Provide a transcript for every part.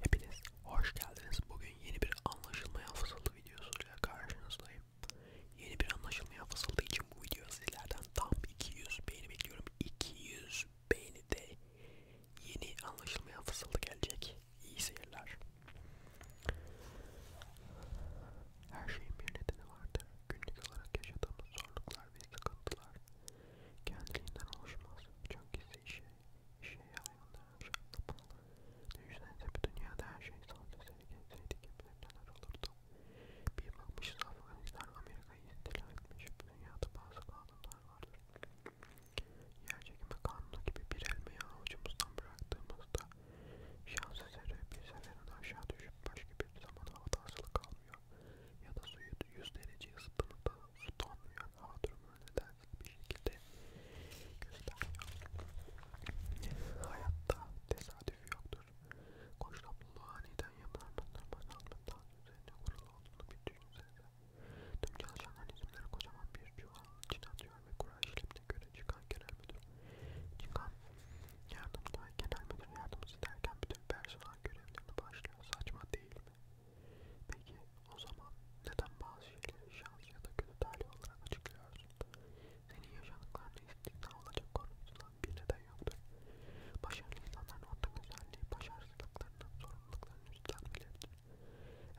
Hepiniz hoş geldiniz. Bugün yeni bir anlaşılmayan fısıltı videosuyla karşınızdayım. Yeni bir anlaşılmayan fısıltı için bu video sizlerden tam 200 beğeni bekliyorum. 200 beğeni de yeni anlaşılmayan fısıltı gelecek. İyi seyirler. Her şeyin bir nedeni vardır. Günlük olarak yaşadığımız zorluklar ve sıkıntılar kendiliğinden oluşmaz. Çünkü işe şey hayvanların rahatlamalı. Düşünsenize bir dünyada her şey sadece seni gelseydik hep neler olurdu. Bir bakmışız Afganistan Amerika'yı istila etmiş. Dünyada bazı kanunlar vardır. Yerçekimi kanunu gibi bir elmeyi avucumuzdan bıraktığımızda şans eseri bir seferin aşağı düşüp başka bir zaman havada asılı kalmıyor. Ya da suyu 100 derece ısıttığımızda su donmuyor. Hava durumu bana nedensiz bir şekilde gösteriyor. Hayatta tesadüf yoktur. Koşlaplılığı aniden yapılan dondurma salmanın üzerine kurulu olduğunu bir düşünsenize. Tüm çalışanlar isimleri kocaman bir çuvalın içine atıyor ve kura işlemine göre çıkan genel müdür. Çıkan yardımcı ve genel müdür yardımcısı derken bütün personel görevlerini başlıyor. Saçma değil mi? Peki o zaman neden bazı şeyleri şans ya da kötü talih olarak açıklıyorsun? Senin yaşadıklarını istikna olacak konusunda bir neden yoktur. Başarılı insanların ortak özelliği başarısızlıklarının sorumluluklarını üstlenmeleridir.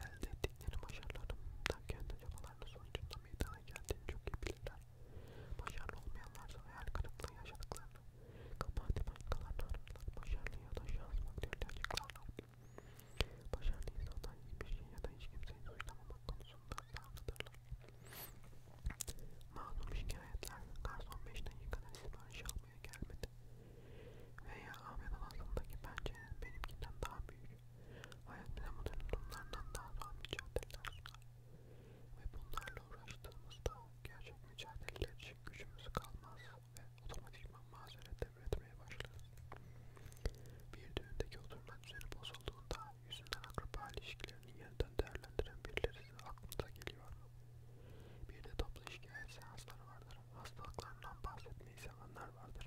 Elde ettikleri başarıların da kendi çabalarının sonucunda meydana geldiğini çok iyi bilirler. Başarılı olmayanlarsa hayal kırıklığı yaşadıklarını Kabahati bankalarını ararlar, başarılı ya da şans faktörüyle açıklarlar. Başarılı insanlar hiçbir şey ya da hiç kimseyi suçlamamak konusunda ısrarlıdırlar. Mağdum şikayetler, garson beşten yıkanan sipariş almaya gelmedi. Veya Ahmet odasındaki pencerenin benimkinden daha büyük. Hayat bize bu durumlardan daha zor mücadeleler sunar. Ve bunlarla uğraştığımızda Gerçek mücadeleler için gücümüz kalmaz ve otomatikman mazeret devretmeye başlarız. Bir düğündeki oturma düzeni bozulduğunda yüzünden akraba ilişkilerini yeniden değerlendiren birileri size aklınıza geliyor. Bir de toplu şikayet seansları vardır. Hastalıklarından bahsetmeyi sevenler vardır.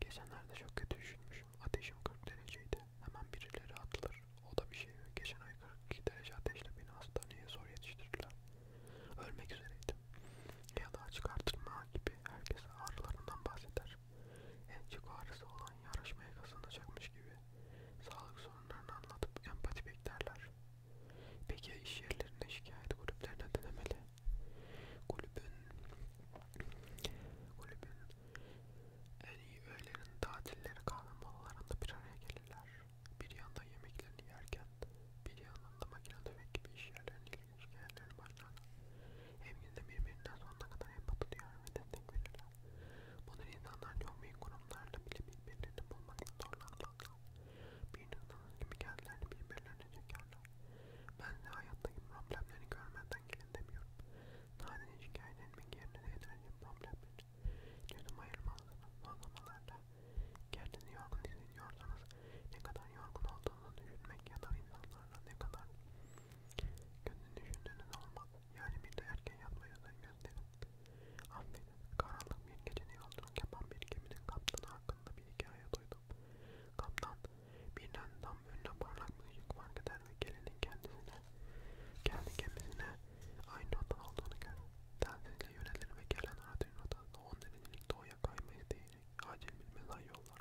Geçenlerde çok kötü düşünmüşüm. Ateşim 40 dereceydi. Hemen birileri atılır. O da bir şey. Geçen ay 42 derece ateşle beni hastaneye zor yetiştirdiler. Ölmek üzereydim. Ya da çıkartılma gibi herkes ağrılarından bahseder. En çok ağrısı olan yarışmaya kazanacakmış gibi sağlık sorunlarını anlatıp empati beklerler. Peki ya iş yerlerine şikayet kulüplerine denemeli? Kulübün, kulübün en iyi öğlenin tatilleri kahve molalarında bir araya gelirler. Bir yandan yemeklerini yerken, bir yandan da makine dövmek gibi iş yerlerinin ilginç hikayeleri başlar. Evinde birbirinden sonuna kadar empati duyar ve destek verirler. Bunun insanlar yoğun kurumlarla bile birbirlerini bulmakta zorlanmazlar. Bir insanın gibi kendilerini birbirlerine çekerler. Ben de hayattaki problemleri görmeden gelin demiyorum. Sadece şikayet etmek yerine enerji problemleri Canım ayırmazsınız uygulamalarda. Kendini yorgun hissediyorsanız ne kadar yorgun olduğunu düşünmek ya da insanlarla ne kadar kendini düşündüğünüz olmaz. Yani bir de erken yatmaya özen gösterin. Affedin, karanlık bir gecede yolculuk yapan bir geminin kaptanı hakkında bir hikaye duydum. Kaptan birden tam önüne parlak bir ışık fark eder ve gelinin kendisine, kendi gemisine aynı odan olduğunu görür. Tensizle yönelir ve gelen Arduino odasında 10 derecelik doğuya kayma isteğiyle acil bir mesai yollar.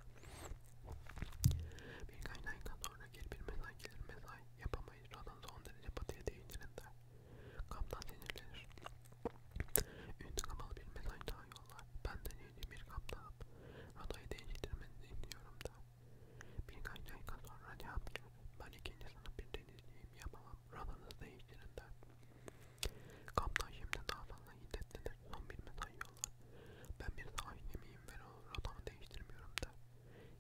Birkaç dakika sonra geri bir mesai gelir mesai yapamayız. Radan'da 10 derece batıya değindirin der. Kaptan sinirlenir. Ünlü kapalı bir mesai daha yollar. Ben de yeni bir kaptanım. Radayı değiştirmenizi istiyorum der. Birkaç dakika sonra cevap geldi. Ben ikinci sınıf bir denizciyim yapamam. Radanızı değiştirin der. Kaptan şimdi daha fazla hiddetlidir. Son bir mesaj yollar. Ben bir savaş gemiyim ve o rotamı değiştirmiyorum der.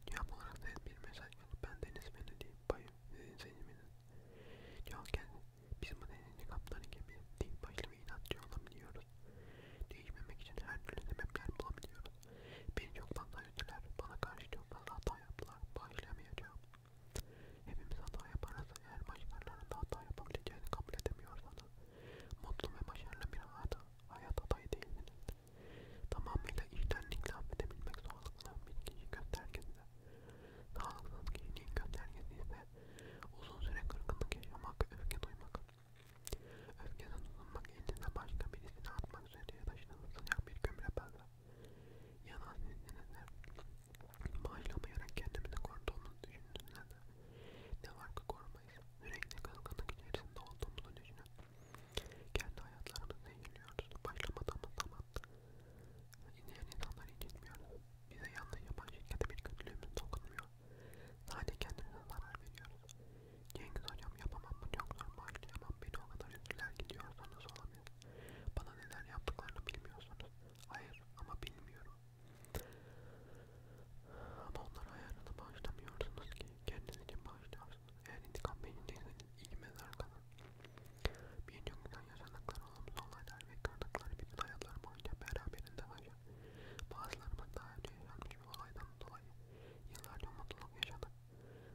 Cevap olarak da bir mesaj geldi. Ben deniz menüdeyim. Bayım sizin seçiminiz. Cevap geldi. Biz bu denizli kaptanı gibi dik başlı ve inatçı olabiliyoruz. Değişmemek için her türlü sebepler bulabiliyoruz. Beni çoktan dayattılar, bana karşı çok fazla hata yaptılar, bağışlayamayacağım. Hepimiz hata yaparız, eğer başkalarında hata yapabileceğini kabul edemiyorsanız, mutlu ve başarılı bir hayata, hayat adayı değilsiniz. Tamamıyla içtenlikle affedebilmek zorlukla bir kişi göstergesi. Sağlıksız kişinin göstergesi ise uzun süre kırgınlık yaşamak, öfke duymak, Öfkeden uzunmak elinize başka birisini atmak üzere taşınan sıcak bir kömüre benzer. Yanan sizinle bağışlamayarak kendimizi koruduğumuzu düşündüğünüzde de ne var ki korumayız. Sürekli kızgınlık içerisinde olduğumuzu düşünün. Kendi hayatlarımızı zehirliyoruz. Başlamadığımız zaman izleyen insanları incitmiyoruz. Bize yanlış yapan şirkete bir kötülüğümüz dokunmuyor. Sadece kendimize zarar veriyoruz. Cengiz hocam yapamam bu çok zor başlayamam beni o kadar üstüler gidiyorsanız olabilir. Bana neler yaptıklarını bilmiyorsunuz. Hayır ama bilmiyorum. Ama onlara ayarını bağışlamıyorsunuz ki kendiniz için bağışlıyorsunuz. Eğer intikam peşindeyseniz iyi mezar kalın. Birçok insan yaşadıkları olumsuz olaylar ve kırdıkları bütün hayatlar boyunca beraberinde hayal Bazılarımız daha önce yaşanmış bir olaydan dolayı yıllarca mutluluk yaşadı.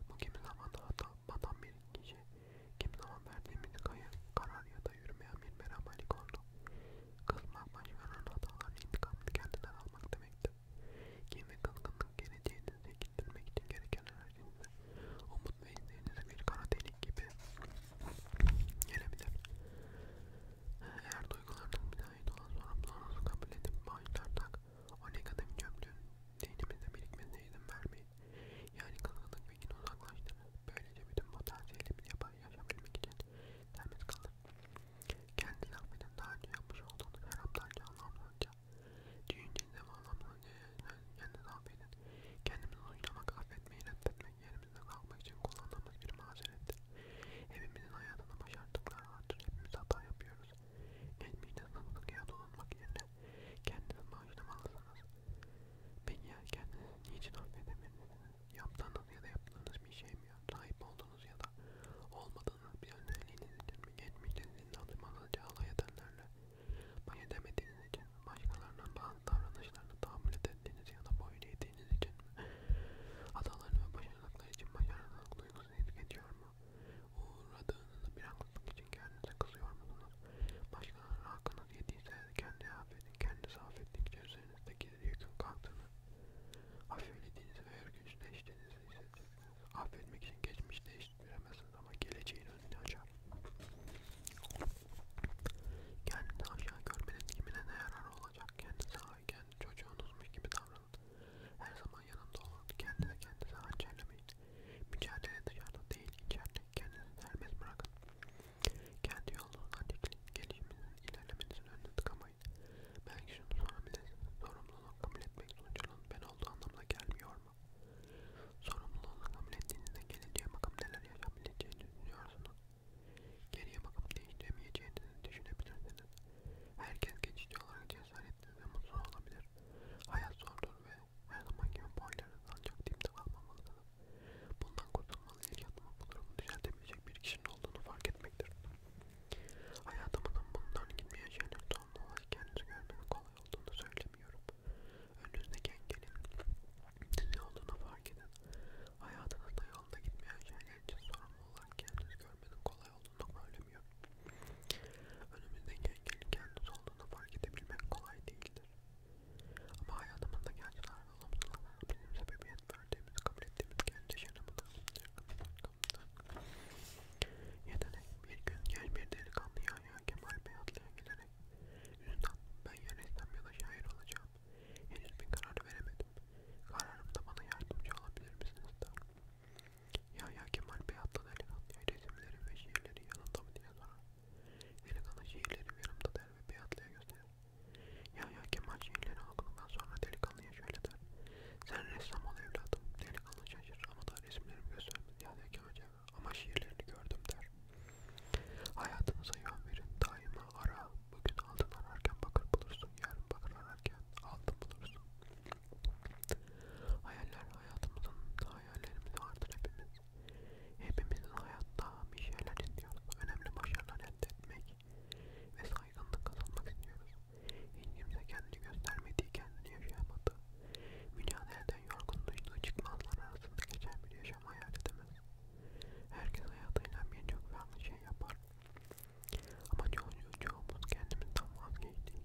Bu kimi zaman hatta batan bir kişi, kimi zaman verdiğimiz karar ya da yürümeyen bir merhametlik oldu. Kızmak başkalarının hatalarını intikamını kendinden almak demekti. Kim ve kızgınlık geleceğini zekildirmek için gereken enerjinizi, umut ve izleyinizi bir kara delik gibi gelebilir. Eğer duygularının müdahil olan sorumluluğunuzu kabul edip bağışlarsak o negatif çöplüğün zihnimizde birikmesine izin vermeyin. Yani kızgınlık ve kin uzaklaştırır. Böylece bütün potansiyelimizi yapar yaşabilmek için temiz kalır. Kendi zahmetin daha önce yapmış olduğunuz her aptalca anlamsızca düşüncenize ve anlamsızca kendi zahmetin kendimizi suçlamak, affetmeyi reddetmek yerimizde kalmak için kullandığımız bir mazerettir. Hepimizin hayatında başardıklar vardır. Hepimiz hata yapıyoruz. Geçmişte sandıklıya dolanmak yerine kendinizi bağışlamalısınız. Peki ya kendinizi niçin affedemediniz? Yaptığınız ya da yaptığınız bir şey mi ya? Sahip olduğunuz ya da olmadığınız bir özelliğiniz için mi? Geçmişte sizin alışmanızca alay edenlerle baş edemediğiniz için başkalarının bazı davranışlarını tahammül ettiğiniz ya da boyun ettiğiniz için mi? Hatalarını ve başarılıklar için başarılılık duygusunu hissediyor mu? Uğradığınızı bir haksızlık için kendinize kızıyor musunuz? Başkalarının hakkınız yediyse kendi affedin, kendinizi affettikçe üzerinizdeki yükün kalktığını, affedildiğinizi ve örgüçleştiğinizi hissedeceksiniz. Affetmek için geçmişi değiştiremezsiniz ama geleceğin önünü açar. Kendini aşağı görmenin kimine ne yararı olacak? Kendinize, kendi çocuğunuzmuş gibi davranın. Her zaman yanında olun. Kendinize kendinize hançerlemeyin. Mücadele dışarıda değil içeride. Kendinizi serbest bırakın. Kendi yolunuzdan dikilin. Gelişiminizin ilerlemenizin önünü tıkamayın. Belki şunu sorabilirsiniz. Sorumluluğu kabul etmek sonucunun ben olduğu anlamına gelmiyor mu? Sorumluluğu kabul ettiğinizde geleceğe bakıp neler yaşayabileceğini düşünüyorsunuz. Geriye bakıp değiştiremeyeceğinizi düşünebilirsiniz. Herkes geçici olarak cesaretli ve mutsuz olabilir. Hayat zordur ve her zaman gibi boylarınız ancak dipte kalmamalısınız. Bundan kurtulmalı ilk adımı bu durumu düzeltebilecek bir kişinin olduğunu fark etmektir. Hayatımızın bundan gitmeye şeyler doğumlu olarak kendinizi görmenin kolay olduğunu söylemiyorum. Önünüzdeki engelin ne olduğunu fark edin. Hayatınızda yolunda gitmeyen şeyler için sorumlu olarak kendiniz görmenin kolay olduğunu söylemiyor. Önümüzdeki engelin kendiniz olduğunu fark edebilmek kolay değildir. Ama hayatımızda gerçekten olumsuzluklar bizim sebebiyet verdiğimiz, kabul ettiğimiz kendi yaşamımızda Yetenek bir gün gel bir delikanlı ya Kemal Bey atlıya gelerek Üstad ben ya ressam ya da şair olacağım yapacağım. Henüz bir karar veremedim. Kararımda bana yardımcı olabilir misiniz tanrım? Ya ya Kemal Bey Atlan Elikan ya resimleri ve şiirleri yanında mı diye sorar. Elikan'a şiirleri yanımda der ve Beyatlı'ya gösterir. Ya ya Kemal şiirleri okuduktan sonra delikanlıya şöyle der. Sen ressam ol evladım. Delikanlı şaşırır ama da resimlerimi göstermedi. Ya ya Kemal ama şiirlerini gördüm der. Hayatınıza yön verin daima ara. Bugün altın ararken bakır bulursun, yarın bakır ararken altın bulursun. Hayaller hayatımızın hayallerimiz vardır hepimiz. Hepimizin hayatta bir şeyler istiyoruz. Önemli başarılar elde etmek ve saygınlık kazanmak istiyoruz. Hiç kimse kendini göstermediği kendini yaşayamadı. Mücadeleden yorgunluğu çıkmazlar arasında geçen bir yaşam yaşam hayal edemez. Herkes hayatıyla birçok farklı şey yapar. Ama çoğu, çoğumuz kendimizden vazgeçtik.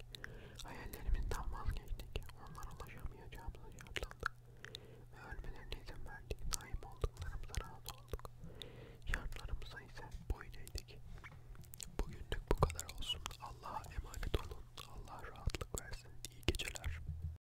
Hayallerimizden vazgeçtik. Onlara ulaşamayacağımızı şartlandık. Ve ölmelerine izin verdik. Sahip olduklarımıza razı olduk. Şartlarımıza ise boyun eğdik. Bugünlük bu kadar olsun. Allah'a emanet olun. Allah rahatlık versin. İyi geceler.